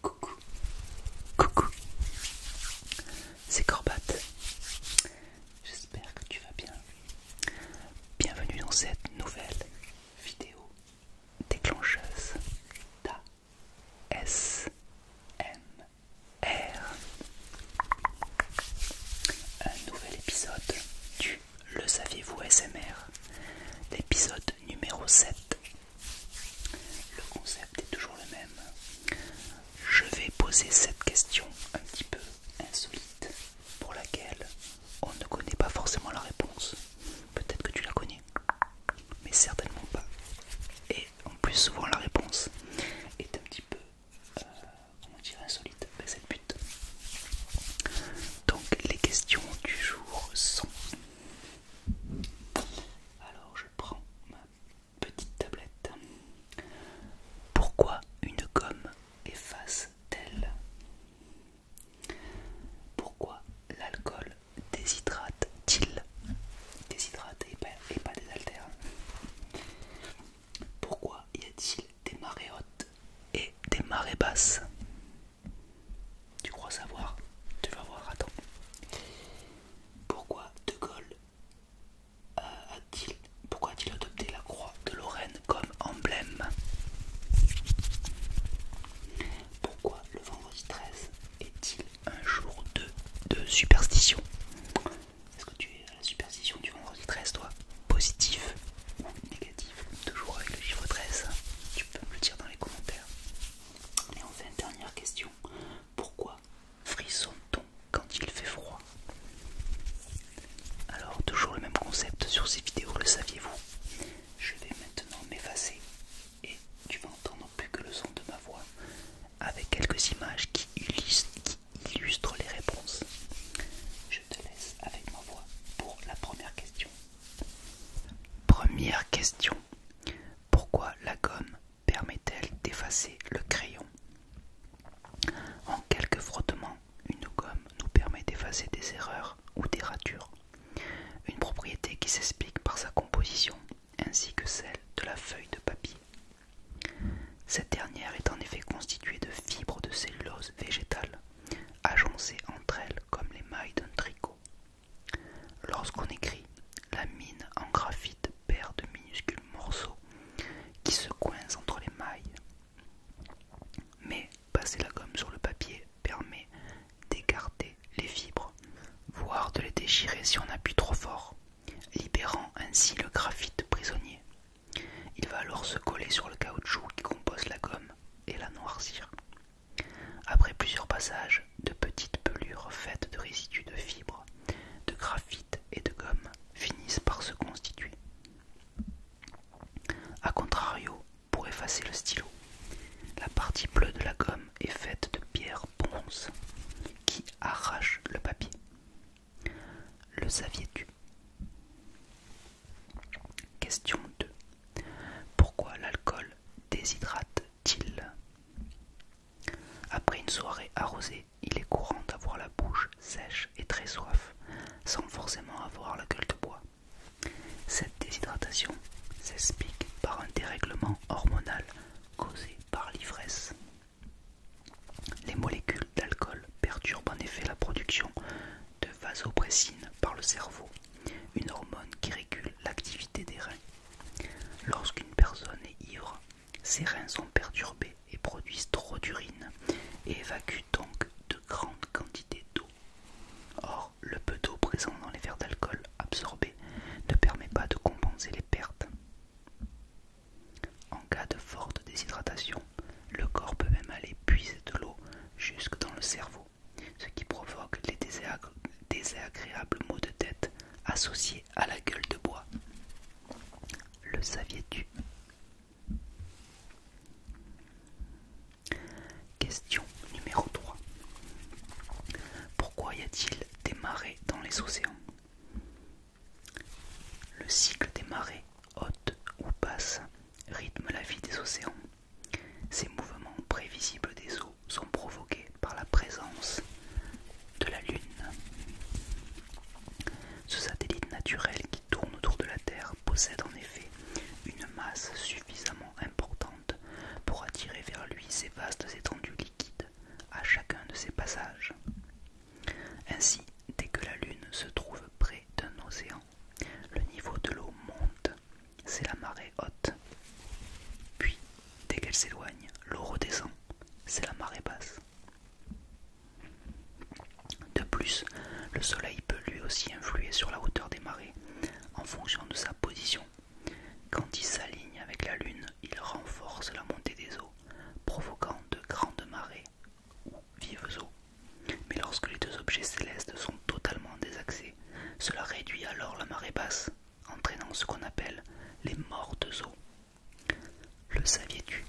Coucou, coucou, c'est Corbatte. J'espère que tu vas bien. Bienvenue dans cette nouvelle vidéo déclencheuse M. R. Un nouvel épisode du Le saviez-vous SMR, l'épisode numéro 7. Le concept est toujours le même. Je vais poser cette question un petit peu insolite pour laquelle on ne connaît pas forcément la réponse. Peut-être que tu la connais, mais certainement pas. Et en plus souvent la réponse est un petit peu euh, comment on insolite, c'est le but. Donc les questions du jour sont... Alors je prends ma petite tablette. Pourquoi une gomme efface-t-elle Pourquoi l'alcool déshydrate-t-il Déshydrate et pas, et pas désaltère pourquoi y a-t-il des marées hautes et des marées basses Tu crois savoir Tu vas voir, attends. Pourquoi De Gaulle euh, a-t-il pourquoi t il adopté la croix de Lorraine comme emblème Pourquoi le vendredi 13 est-il un jour de superstition est-ce que tu es à la superstition du vendredi 13, toi Positif ou négatif Toujours avec le chiffre 13, tu peux me le dire dans les commentaires. Et enfin, dernière question. Pourquoi frissonne-t-on quand il fait froid Alors, toujours le même concept sur ces vidéos, le saviez-vous Je vais maintenant m'effacer et tu vas entendre plus que le son de ma voix avec quelques images qui illustrent, Illustre les réponses. Je te laisse avec ma voix pour la première question. Première question. Pourquoi la gomme permet-elle d'effacer le crayon En quelques frottements, une gomme nous permet d'effacer des erreurs ou des ratures. Une propriété qui s'explique par sa composition ainsi que celle de la feuille de papier. Cette dernière est en effet constituée de fibres de cellulose végétale, agencées entre elles comme les mailles d'un tricot. Lorsqu'on écrit, la mine en graphite perd de minuscules morceaux qui se coincent entre les mailles. Mais passer la gomme sur le papier permet d'écarter les fibres, voire de les déchirer si on appuie trop fort libérant ainsi le graphite prisonnier. Il va alors se coller sur le caoutchouc qui compose la gomme et la noircir. Après plusieurs passages, de petites pelures faites de résidus de fibres, de graphite et de gomme finissent par se constituer. A contrario, pour effacer le stylo, la partie bleue de la gomme est faite de pierre ponce qui arrache le papier. Le saviez-tu Question 2. Pourquoi l'alcool déshydrate-t-il Après une soirée arrosée, il est courant d'avoir la bouche sèche et très soif, sans forcément avoir la gueule de bois. Cette déshydratation s'explique par un dérèglement hormonal causé par l'ivresse. Les molécules d'alcool perturbent en effet la production de vasopressine par le cerveau, une hormone qui régule l'activité des reins. Lorsqu'une personne est ivre, ses reins sont perturbés et produisent trop d'urine et évacuent donc de grandes quantités d'eau. Or, le peu d'eau présent dans les verres d'alcool absorbés ne permet pas de compenser les pertes en cas de forte déshydratation, le corps peut même aller puiser de l'eau jusque dans le cerveau, ce qui provoque les désagréables maux de tête associés à la gueule de bois. Le saviez-tu Question numéro 3. Pourquoi y a-t-il des marées dans les océans. Le cycle des marées, hautes ou basse, rythme la vie des océans. Ces mouvements prévisibles des eaux sont provoqués par la présence de la Lune. Ce satellite naturel qui tourne autour de la Terre possède en effet une masse suffisamment importante pour attirer vers lui ces vastes étendues liquides à chacun de ces passages. Ainsi, dès que la Lune se trouve près d'un océan, le niveau de l'eau monte, c'est la marée haute. Puis, dès qu'elle s'éloigne, l'eau redescend, c'est la marée basse. De plus, le Soleil peut lui aussi influer sur la hauteur des marées en fonction de sa position quand il s'aligne avec la Lune, il renforce la montée des eaux, provoquant de grandes marées ou vives eaux. Mais lorsque les deux objets célestes sont totalement désaxés, cela réduit alors la marée basse, entraînant ce qu'on appelle les mortes eaux. Le saviez-tu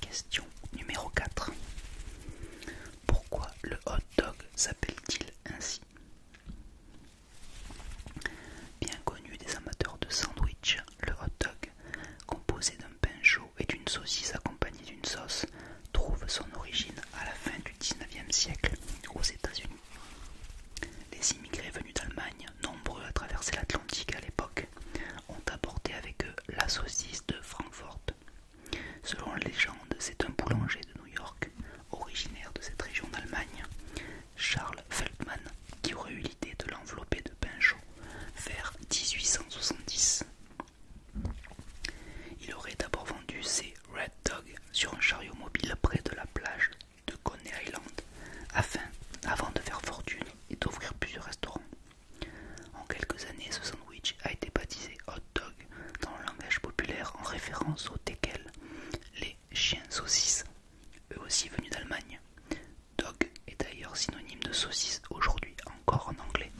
Question numéro 4. Pourquoi le hot dog s'appelle-t-il ainsi Bien connu des amateurs de sandwich, le hot dog, composé d'un pain chaud et d'une saucisse accompagnée d'une sauce, trouve son origine à la fin du 19e siècle aux États-Unis. Les immigrés venus d'Allemagne, nombreux à traverser l'Atlantique à l'époque, ont apporté avec eux la saucisse de Francfort Selon la légende, c'est un boulanger de New York, originaire de cette région d'Allemagne, Charles Feldman, qui aurait eu l'idée de l'envelopper de pain vers 1870. Il aurait d'abord vendu ses Red Dog sur un chariot mobile près de la plage de Coney Island, afin, avant de faire fortune et d'ouvrir plusieurs restaurants. En quelques années, ce sandwich a été baptisé hot dog dans le langage populaire en référence aux teckels, les chiens saucisses, eux aussi venus d'Allemagne. Dog est d'ailleurs synonyme de saucisse aujourd'hui encore en anglais.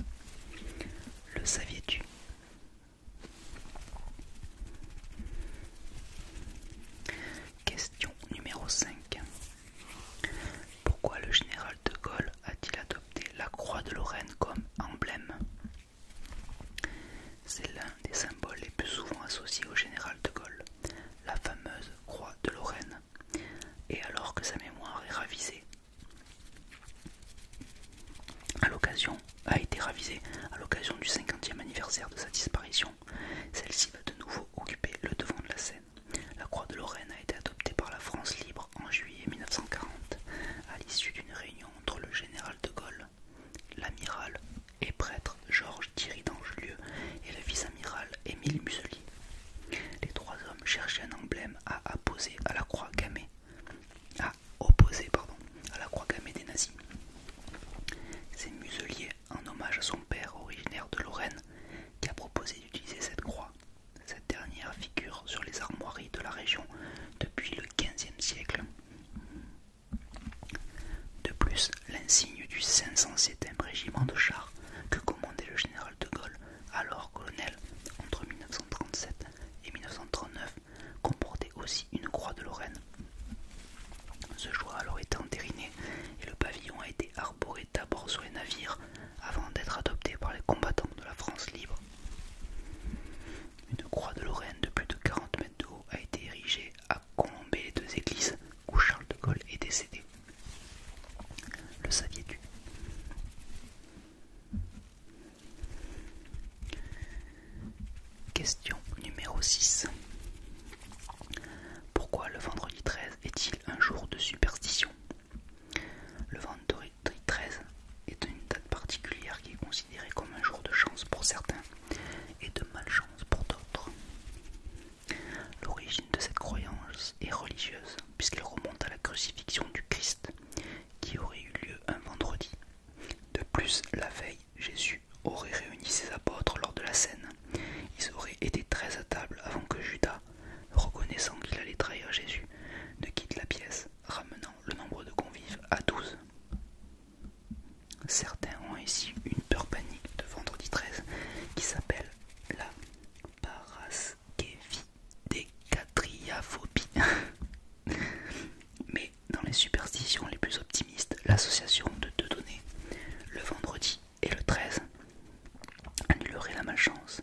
Le saviez vous Question numéro 5. Pourquoi le général de Gaulle a-t-il adopté la croix de Lorraine comme emblème C'est l'un des symboles les plus souvent associés au général de Gaulle, la fameuse croix de Lorraine, et alors que sa mémoire est ravisée à l'occasion a été ravisée à l'occasion du 50e anniversaire de sa disparition. Celle-ci va de nouveau occuper le devant de la scène. La Croix de Lorraine a été adoptée par la France libre en juillet 1940 à l'issue d'une réunion entre le général de Gaulle, l'amiral et prêtre Georges Thierry d'Angelieu et le vice-amiral Émile Muselier. Les trois hommes cherchaient un emblème à à la croix à opposer à la croix gammée des nazis. C'est Muselier, en hommage à son père originaire de Lorraine, qui a proposé d'utiliser cette croix cette dernière figure sur les armoiries de la région depuis le XVe siècle. De plus, l'insigne du 507e régiment de chars que commandait le général de Gaulle, alors colonel, entre 1937 et 1939, comportait aussi une croix de Lorraine. Ce choix a alors été entériné et le pavillon a été pour d'abord sur les navires avant d'être adopté par les combattants de la France libre. Une croix de Lorraine de plus de 40 mètres de haut a été érigée à Colombey les deux églises où Charles de Gaulle est décédé. Le saviez-tu Question numéro 6. Pourquoi le vendredi 13 est-il un jour de superstition le vendredi 13 est une date particulière qui est considérée comme un jour de chance pour certains et de malchance pour d'autres. L'origine de cette croyance est religieuse puisqu'elle remonte à la crucifixion du Christ qui aurait eu lieu un vendredi. De plus, la veille, Jésus aurait réuni ses apôtres lors de la scène ils auraient été treize à table avant que Judas, reconnaissant qu'il allait trahir Jésus, ne quitte la pièce, ramenant le nombre de convives à 12. Certains ont ici une peur panique de vendredi 13 qui s'appelle la paraskevidécatriaphobie. Mais dans les superstitions les plus optimistes, l'association de deux données, le vendredi et le 13 annulerait la malchance.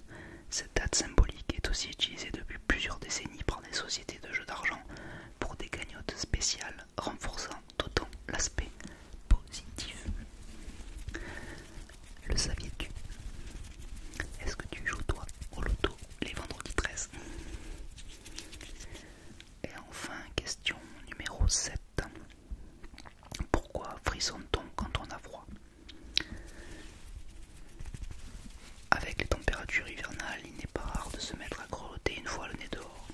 Cette date symbolique est aussi utilisée depuis plusieurs décennies par des sociétés de jeux d'argent pour des cagnottes spéciales renforçant d'autant l'aspect positif. Le saviez-tu Est-ce que tu joues toi au loto les vendredis 13 Et enfin, question numéro 7. Pourquoi frissonne-t-on quand on a froid Avec les températures hivernales, il n'est pas rare de se mettre à grelotter une fois le nez dehors.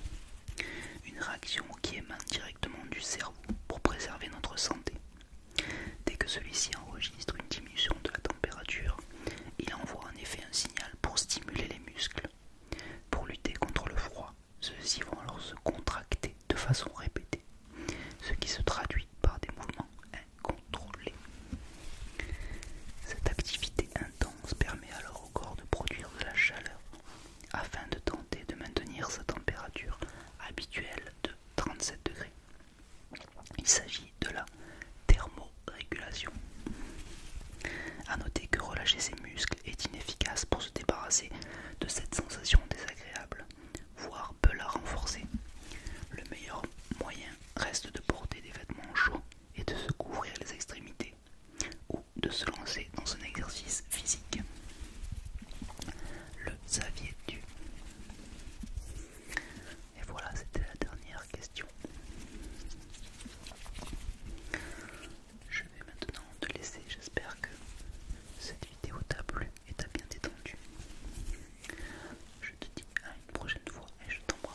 Une réaction qui émane directement du cerveau pour préserver notre santé. Dès que celui-ci enregistre une diminution de la température, il envoie en effet un signal pour stimuler les muscles. Pour lutter contre le froid, ceux-ci vont alors se contracter de façon répétée, ce qui se traduit par des mouvements incontrôlés. Cette activité intense permet alors au corps de produire de la chaleur afin de tenter de maintenir sa température habituelle de 37 degrés. Il s'agit de la thermorégulation. A noter que relâcher ses muscles est inefficace pour se débarrasser de cette sensation désagréable, voire peut la renforcer. Le meilleur moyen reste de porter des vêtements chauds et de se couvrir les extrémités ou de se lancer dans un exercice physique. Le Xavier du. Et voilà, c'était la dernière question. Je vais maintenant te laisser. J'espère que cette vidéo t'a plu et t'a bien détendu. Je te dis à une prochaine fois et je t'embrasse.